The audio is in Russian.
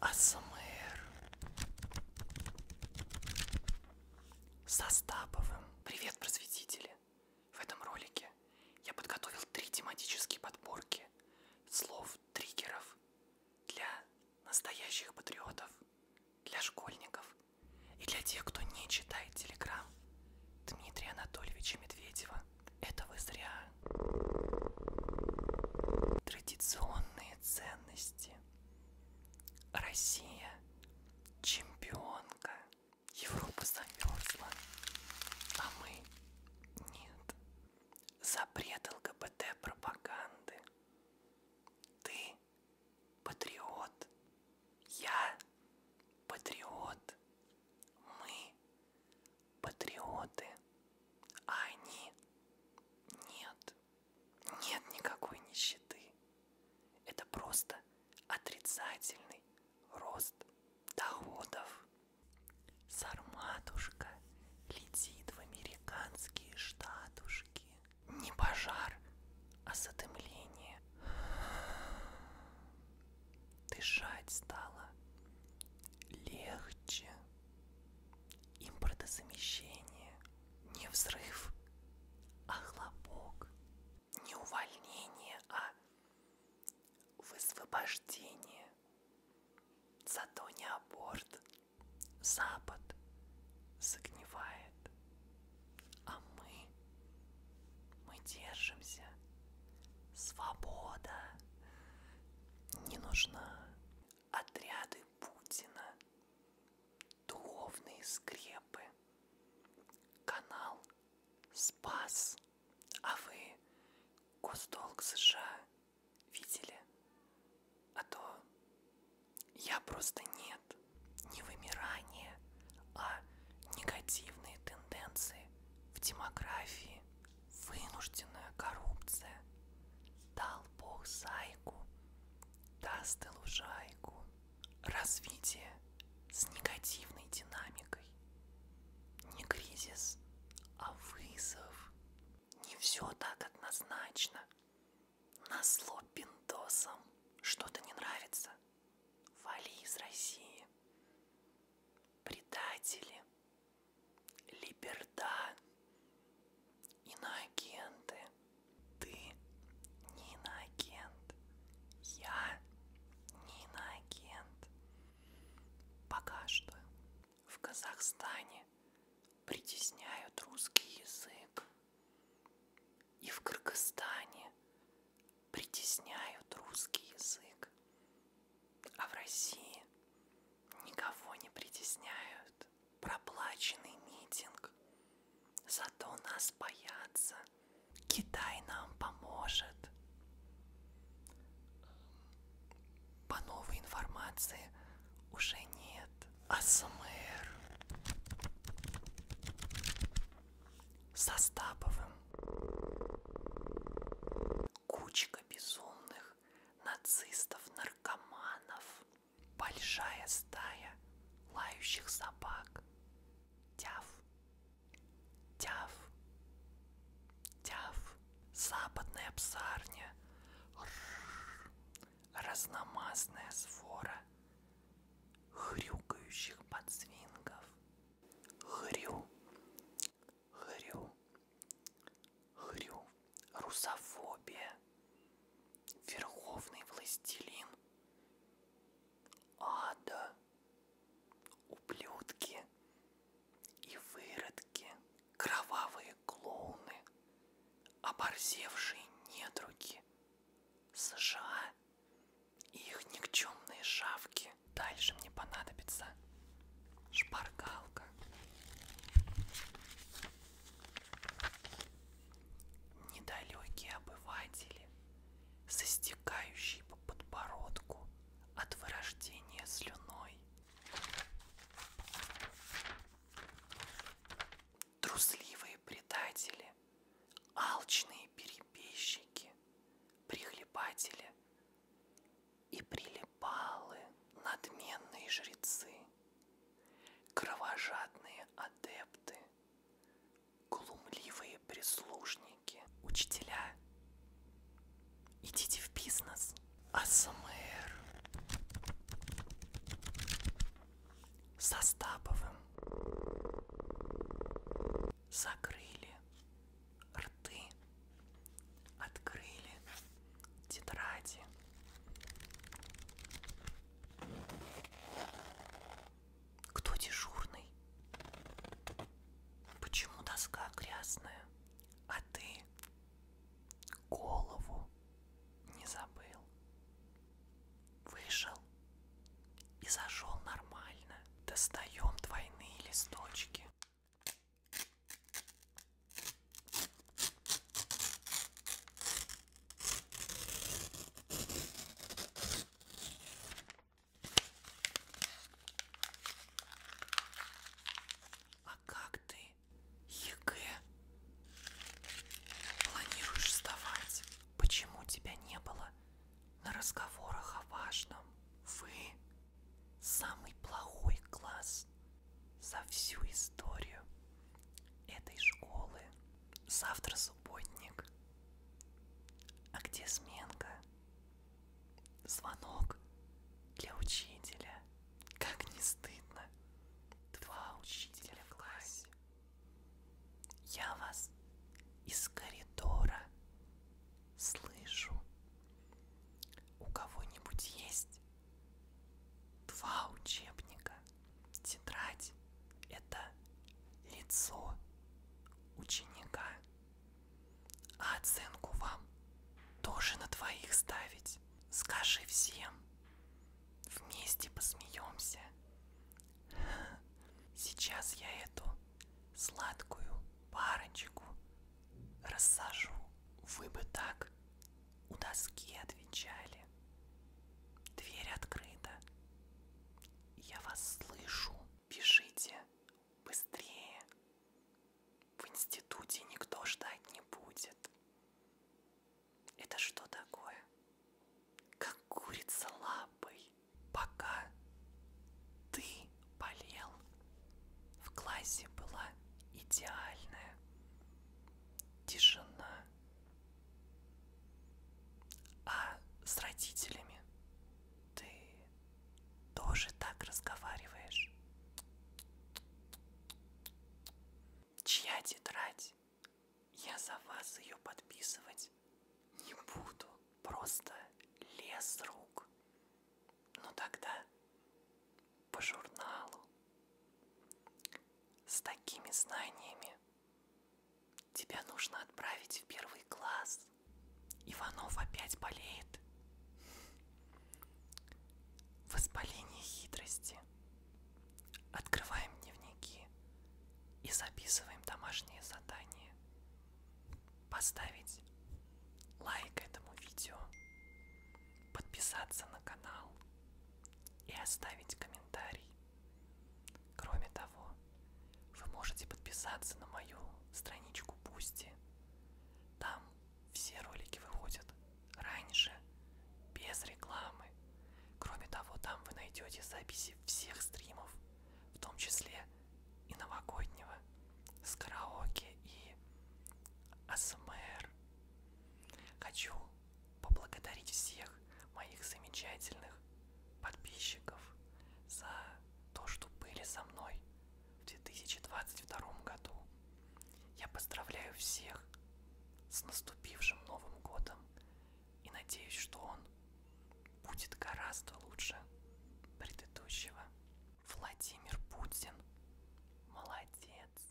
АСМР с Остаповым. Привет, просветители! В этом ролике я подготовил три тематические подборки слов-триггеров для настоящих патриотов, для школьников и для тех, кто не читает Телеграм Дмитрия Анатольевича Медведева. Это вы зря. Традиционные личные ценности. Россия чемпионка. Европа замерзла, а мы нет. Запрет ЛГБТ-пропаганды. Ты патриот. Я патриот. Мы патриоты. А они нет. Нет никакой нищеты. Это просто отрицательный рост доходов. Сарматушка летит в американские штатушки. Не пожар, а затемление. Дышать стало легче импортозамещение, не взрыв, а хлопок, не увольнение, а высвобождение, зато не аборт, Запад загнивает, а мы, мы держимся, свобода не нужна, отряды Путина, духовные скрепы, канал Спас. А вы Госдолг США видели? А то я просто нет. Не вымирание, а негативные тенденции в демографии, Вынужденная коррупция. Дал Бог зайку, даст и лужайку. Развитие с негативной динамикой. Не кризис, а вызов. Не все так однозначно. Назло пиндосом. Что-то не нравится. Вали из России. Предатели. Либерда, иноагенты. Ты не иноагент. Я не иноагент. Пока что в Казахстане притесняют русский язык. И в Кыргызстане притесняют русский язык. А в России никого не притесняют будет проплаченный митинг. Зато нас боятся. Китай нам поможет. По новой информации уже нет. АСМР со Стаповым. Кучка безумных всяких нацистов-наркоманов, большая стая лающих собак. Тяв, тяв, тяв, западная псарня, Рррр. разномастная свора хрюкающих подсвингов. Хрю, хрю. Хрю, русофобия, верховный властелин, ада, ублюдки и выродки, кровавые клоуны, оборзевшие недруги, США и их никчемные шавки. Дальше мне понадобится шпаргалка. Недалекие обыватели, застекающие по подбородку от вырождения слюной. Трусливые предатели, алчные перебежчики, прихлебатели и прилипалы надменные жрецы. Кровожадные адепты, глумливые прислужники, учителя. Идите в бизнес. АСМР. Со Стаповым. Закрыли рты, открыли тетради. Кто дежурный? Почему доска грязная? А ты голову не забыл. Вышел и зашел нормально. Достаем двойные листочки. А как ты ЕГЭ планируешь сдавать? Почему тебя не было на разговорах о важном? Вы самый плохой класс раз за всю историю этой школы. Завтра субботник. А где сменка? Звонок для учителя. Как не стыдно. Два учителя в классе. Я вас из коридора слышу. У кого-нибудь есть два учебника. Тетрадь – это лицо ученика. А оценку вам тоже на двоих ставить. Скажи всем. Вместе посмеемся. Сейчас я эту сладкую парочку рассажу. Вы бы так у доски отвечали. Дверь открыта. Я вас слышу. Бежите быстрее. В институте никто ждать не будет. Это что такое? Как курица лапой. Пока ты болел, в классе была идеальная, тишина. А с родителями ты тоже так разговариваешь? Чья тетрадь? Я за вас ее подписывать не буду. Просто лес рук. Но ну тогда по журналу с такими знаниями тебя нужно отправить в первый класс. Иванов опять болеет. Воспаление хитрости. Открываем дневники и записываем домашние задания. Поставить лайк этому видео, подписаться на канал, и оставить комментарий. Кроме того, вы можете подписаться на мою страничку Бусти. Там все ролики выходят раньше, без рекламы. Кроме того, там вы найдете записи всех стримов, в том числе и новогоднего, с караоке и АСМР. Хочу поблагодарить всех моих замечательных подписчиков за то, что были со мной в 2022 году. Я поздравляю всех с наступившим Новым Годом и надеюсь, что он будет гораздо лучше предыдущего. Владимир Путин молодец.